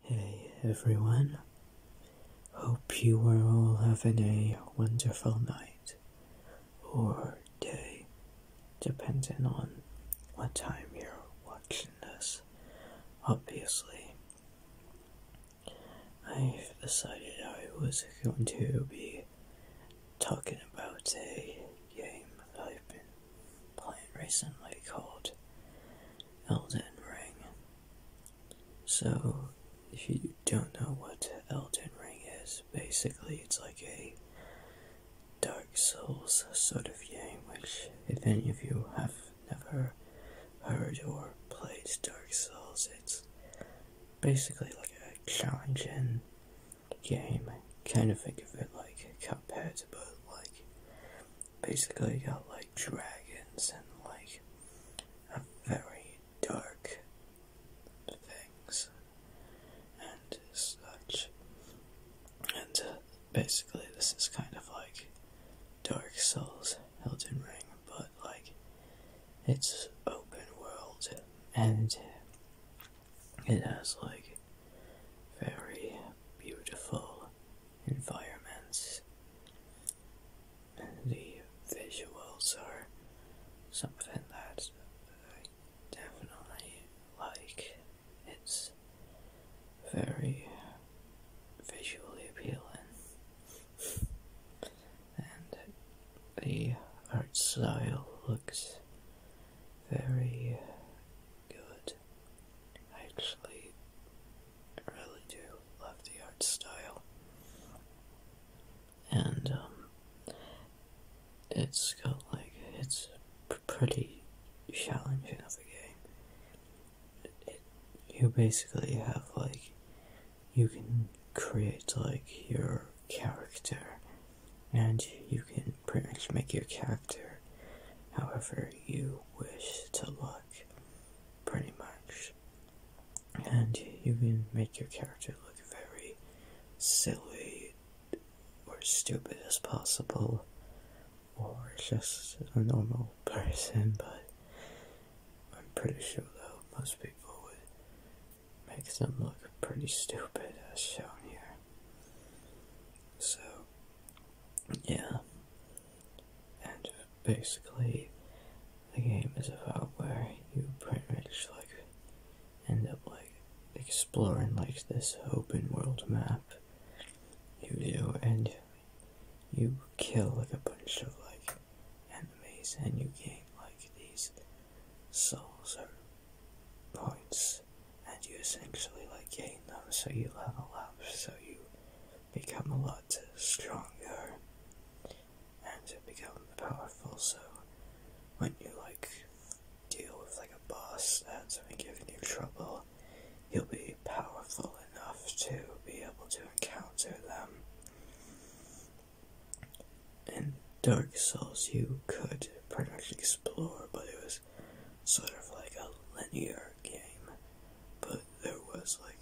Hey everyone, hope you are all having a wonderful night or day, depending on what time you're watching this. Obviously, i decided I was going to be talking about a game I've been played recently called Elden Ring. So, if you don't know what Elden Ring is, basically it's like a Dark Souls sort of game, which, if any of you have never heard or played Dark Souls, it's basically like a challenging game. Kind of think of it like Cuphead, but like basically got like dragons and like very dark things and such. And uh, basically, this is kind of like Dark Souls Elden Ring, but like it's open world and it has like very beautiful environments. The visuals are something that I definitely like. It's very visually appealing, and the art style looks very good. actually I really do love the art style. And, um, it's got like, it's pretty challenging of a game. you basically have like, you can create like your character, and you can pretty much make your character however you wish to look pretty much. And you can make your character look very silly or stupid as possible, or just a normal person, but I'm pretty sure though most people would make them look pretty stupid as shown here. So, yeah. And uh, basically, the game is about where you pretty much like end up like exploring like this open world map. You do, and you kill like a bunch of like enemies, and you gain like these souls or points, and you essentially like gain them so you level up, so you become a lot stronger and become powerful. So when you like deal with like a boss that's been giving you trouble, you'll be powerful enough to be able to encounter them. In Dark Souls, you could pretty much explore, but it was sort of like a linear game, but there was like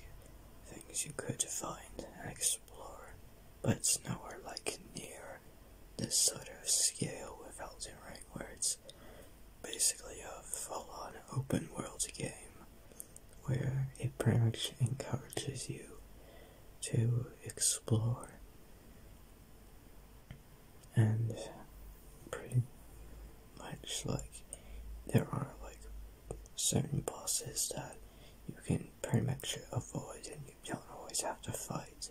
things you could find and explore, but it's nowhere like near this sort of scale without Elden Ring, where it's basically a full-on open-world game where it pretty much encourages you to explore and pretty much like there are like certain bosses that you can pretty much avoid and you don't always have to fight.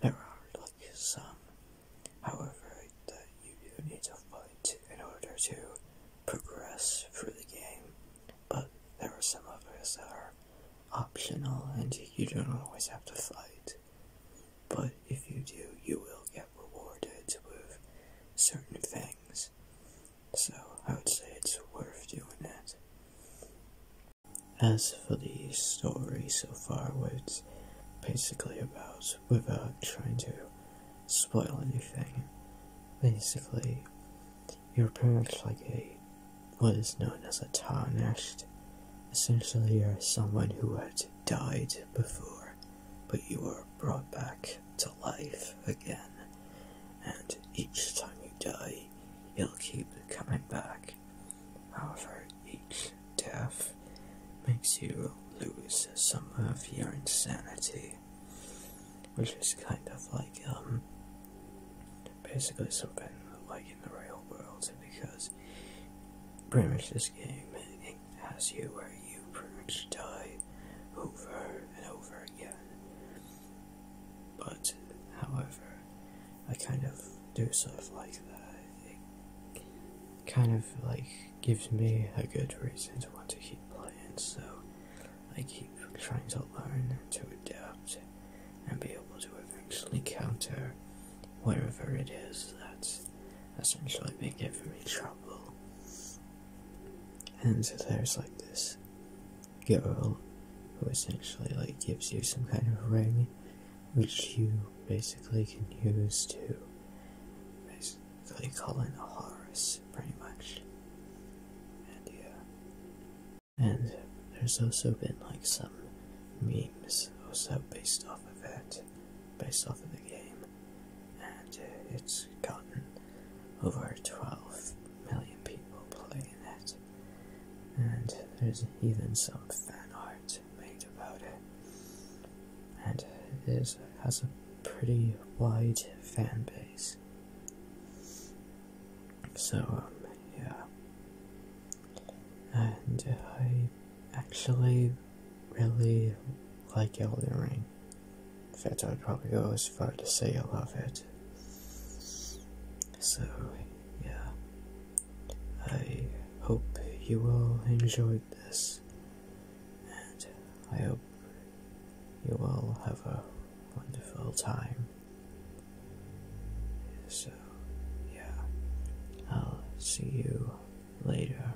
There are like some, however, that you do need to fight in order to progress through the game, but there are some others that are optional and you don't always have to fight. But if you do, you will get rewarded with certain things. So I would say it's worth doing that. As for the story so far, it's basically about, without trying to spoil anything, basically, you're pretty much like a, what is known as a tarnished. Essentially, you're someone who had died before, but you were brought back to life again. And each time you die, you'll keep coming back. However, each death makes you lose some of your insanity. Which is kind of like, um, basically something like in the real world, because pretty much this game as you are, you pretty die over and over again. But, however, I kind of do stuff like that. kind of like gives me a good reason to want to keep playing, so I keep trying to learn, to adapt, and be able to eventually counter whatever it is that's essentially been giving me trouble. And so there's like this girl who essentially like gives you some kind of ring which you basically can use to basically call in a Horus pretty much. And yeah. And there's also been like some memes also based off of that based off of the game, and uh, it's gotten over 12 million people playing it. And there's even some fan art made about it, and it has a pretty wide fan base. So, um, yeah, and uh, I actually really like Elden Ring. In fact, I would probably go as far to say I love it. So, yeah. I hope you all enjoyed this, and I hope you all have a wonderful time. So, yeah, I'll see you later.